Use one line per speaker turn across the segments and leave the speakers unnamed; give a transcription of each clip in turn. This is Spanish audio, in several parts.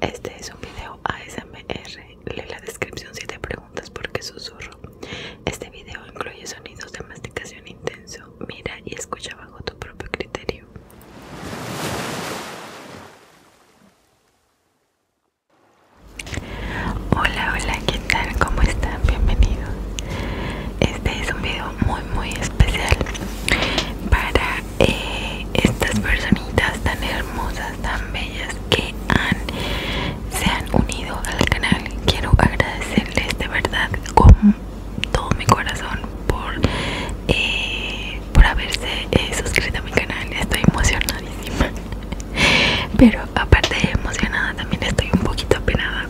Este es un video ASMR. Lee la descripción si te preguntas por qué susurro. Este video incluye sonidos de masticación intenso. Mira y escucha bajo tu propio criterio. Hola, hola, ¿qué tal? ¿Cómo están? Bienvenidos. Este es un video muy, muy especial para eh, estas personitas tan hermosas, tan bellas que han, se han unido al canal. Quiero agradecerles de verdad con todo mi corazón por, eh, por haberse eh, suscrito a mi canal. Estoy emocionadísima. Pero aparte de emocionada también estoy un poquito apenada.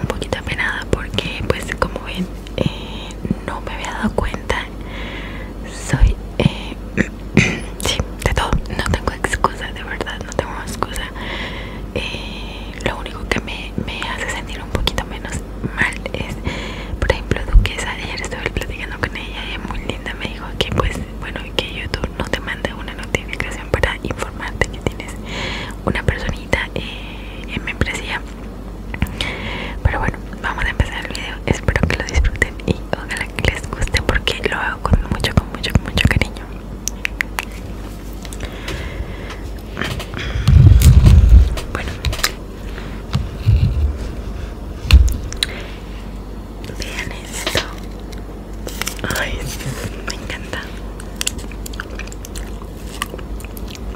Un poquito apenada porque pues como ven eh, no me había dado cuenta soy eh, sí, de todo no tengo excusa de verdad no tengo excusa eh, lo único que me, me hace sentir un poquito menos mal es por ejemplo Duquesa ayer estuve platicando con ella y muy linda me dijo que pues bueno que YouTube no te manda una notificación para informarte que tienes una personita en membresía pero bueno, vamos a empezar el video. Espero que lo disfruten y ojalá que les guste porque lo hago con mucho, con mucho, con mucho cariño. Bueno, vean esto. Ay, me encanta.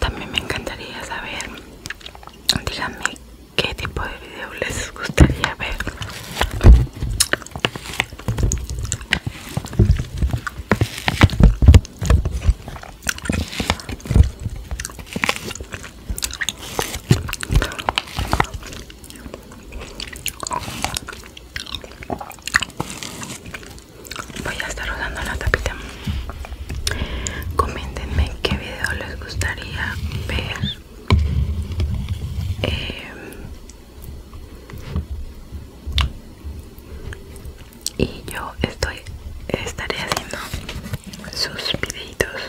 También me encantaría saber, díganme qué tipo de video les gustaría ver. Voy a estar rodando la tapita. Coméntenme qué video les gustaría ver. Em,
y yo estoy estaré haciendo sus videitos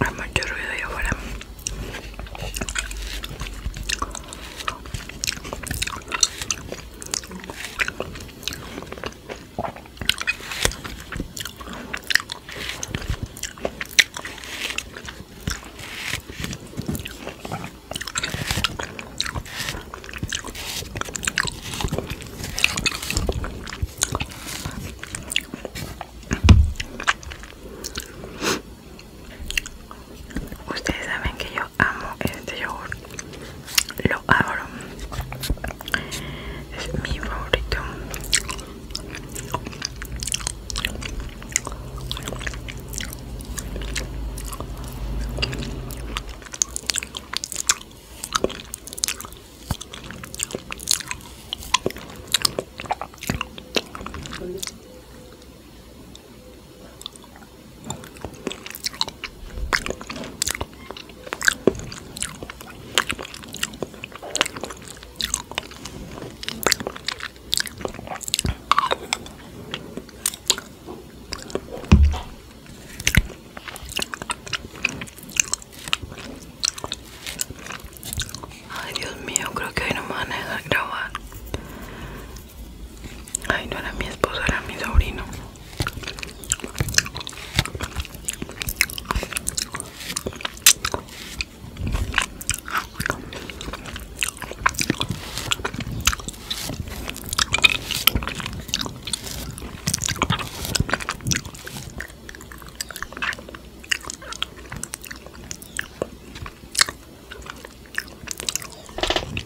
hay mucho ruido Ustedes saben que yo amo este yogur lo abro es mi favorito Ay Dios mío, creo que hoy no me van a grabar Ay, no era mi esposo, era mi sobrino.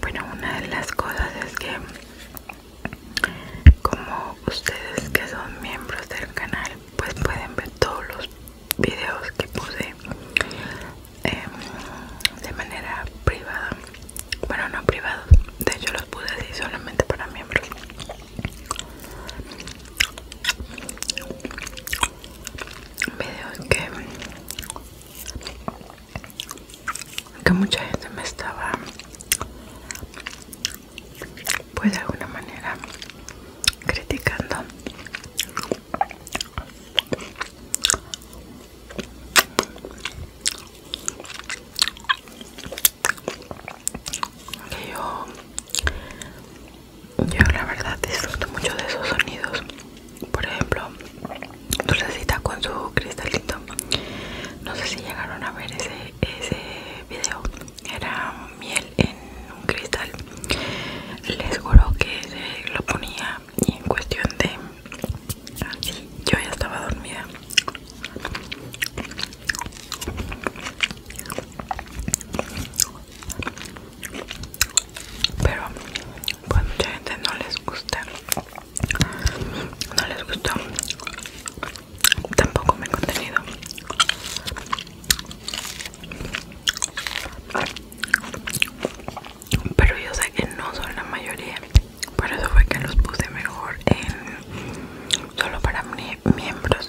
Bueno, una de las cosas es que como ustedes que son miembros del canal, pues pueden ver todos los videos que puse em, de manera privada. Bueno, no privado de hecho los puse así solamente para miembros. Vídeos que que mucha gente me estaba pues de alguna manera criticando que yo yo la verdad disfruto mucho de esos sonidos. Por ejemplo, Dulcecita con su cristalito. No sé si llegaron a ver ese, ese video. Era miel en un cristal. Les juro que lo ponía y en cuestión de... yo ya estaba dormida pero pues mucha gente no les gusta no les gustó tampoco mi contenido pero yo sé que no son la mayoría por eso fue que los puse mejor en solo para miembros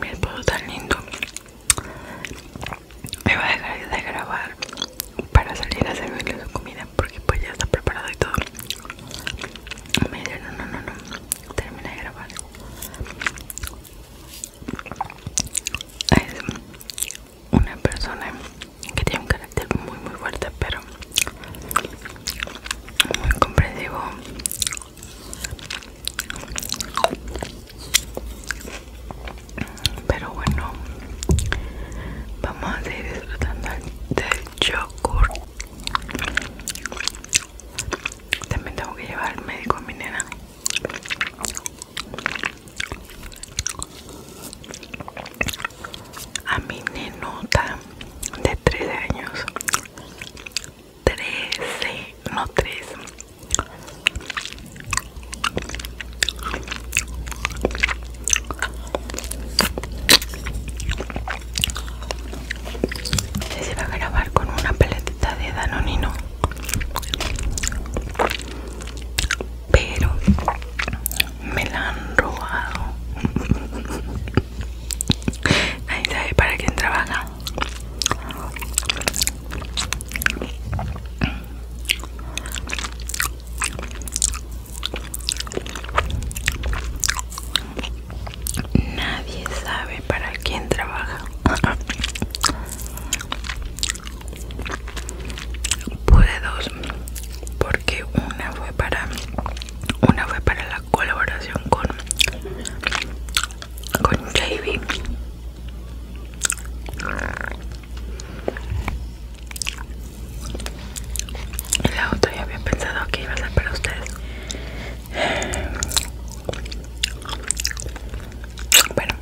Mira todo tan lindo. Me va a dejar de grabar para salir a servirle la comida porque pues ya está preparado y todo. Me dice, no, no, no, no, termina de grabar. Es una persona que tiene un carácter muy, muy fuerte, pero muy comprensivo pero bueno vamos a seguir disfrutando del yogur también tengo que llevar al médico a mi nena a mi nenota de 13 años 13 no 3
se va a grabar con una paletita de Danonino Pero me la han robado ahí sabe para quién trabaja Nadie sabe para quién trabaja. Pude dos, porque una fue para una fue para la colaboración con con
la otra ya había pensado que iba a ser para ustedes. Bueno,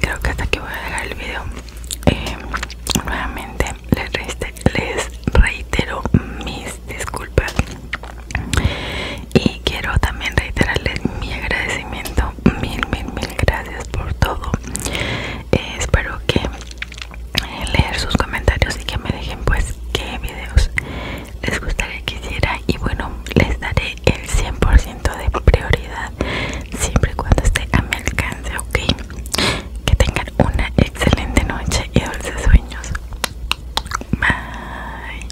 creo que hasta aquí voy a dejar el video. Eh, nuevamente les, les reitero mis disculpas y quiero también reiterarles mi agradecimiento. Mil, mil, mil gracias por todo espero que eh, leer sus comentarios y que me dejen pues qué videos les gustaría que hiciera y bueno les daré el 100% de prioridad siempre y cuando esté a mi alcance ok que tengan una excelente noche y dulces sueños bye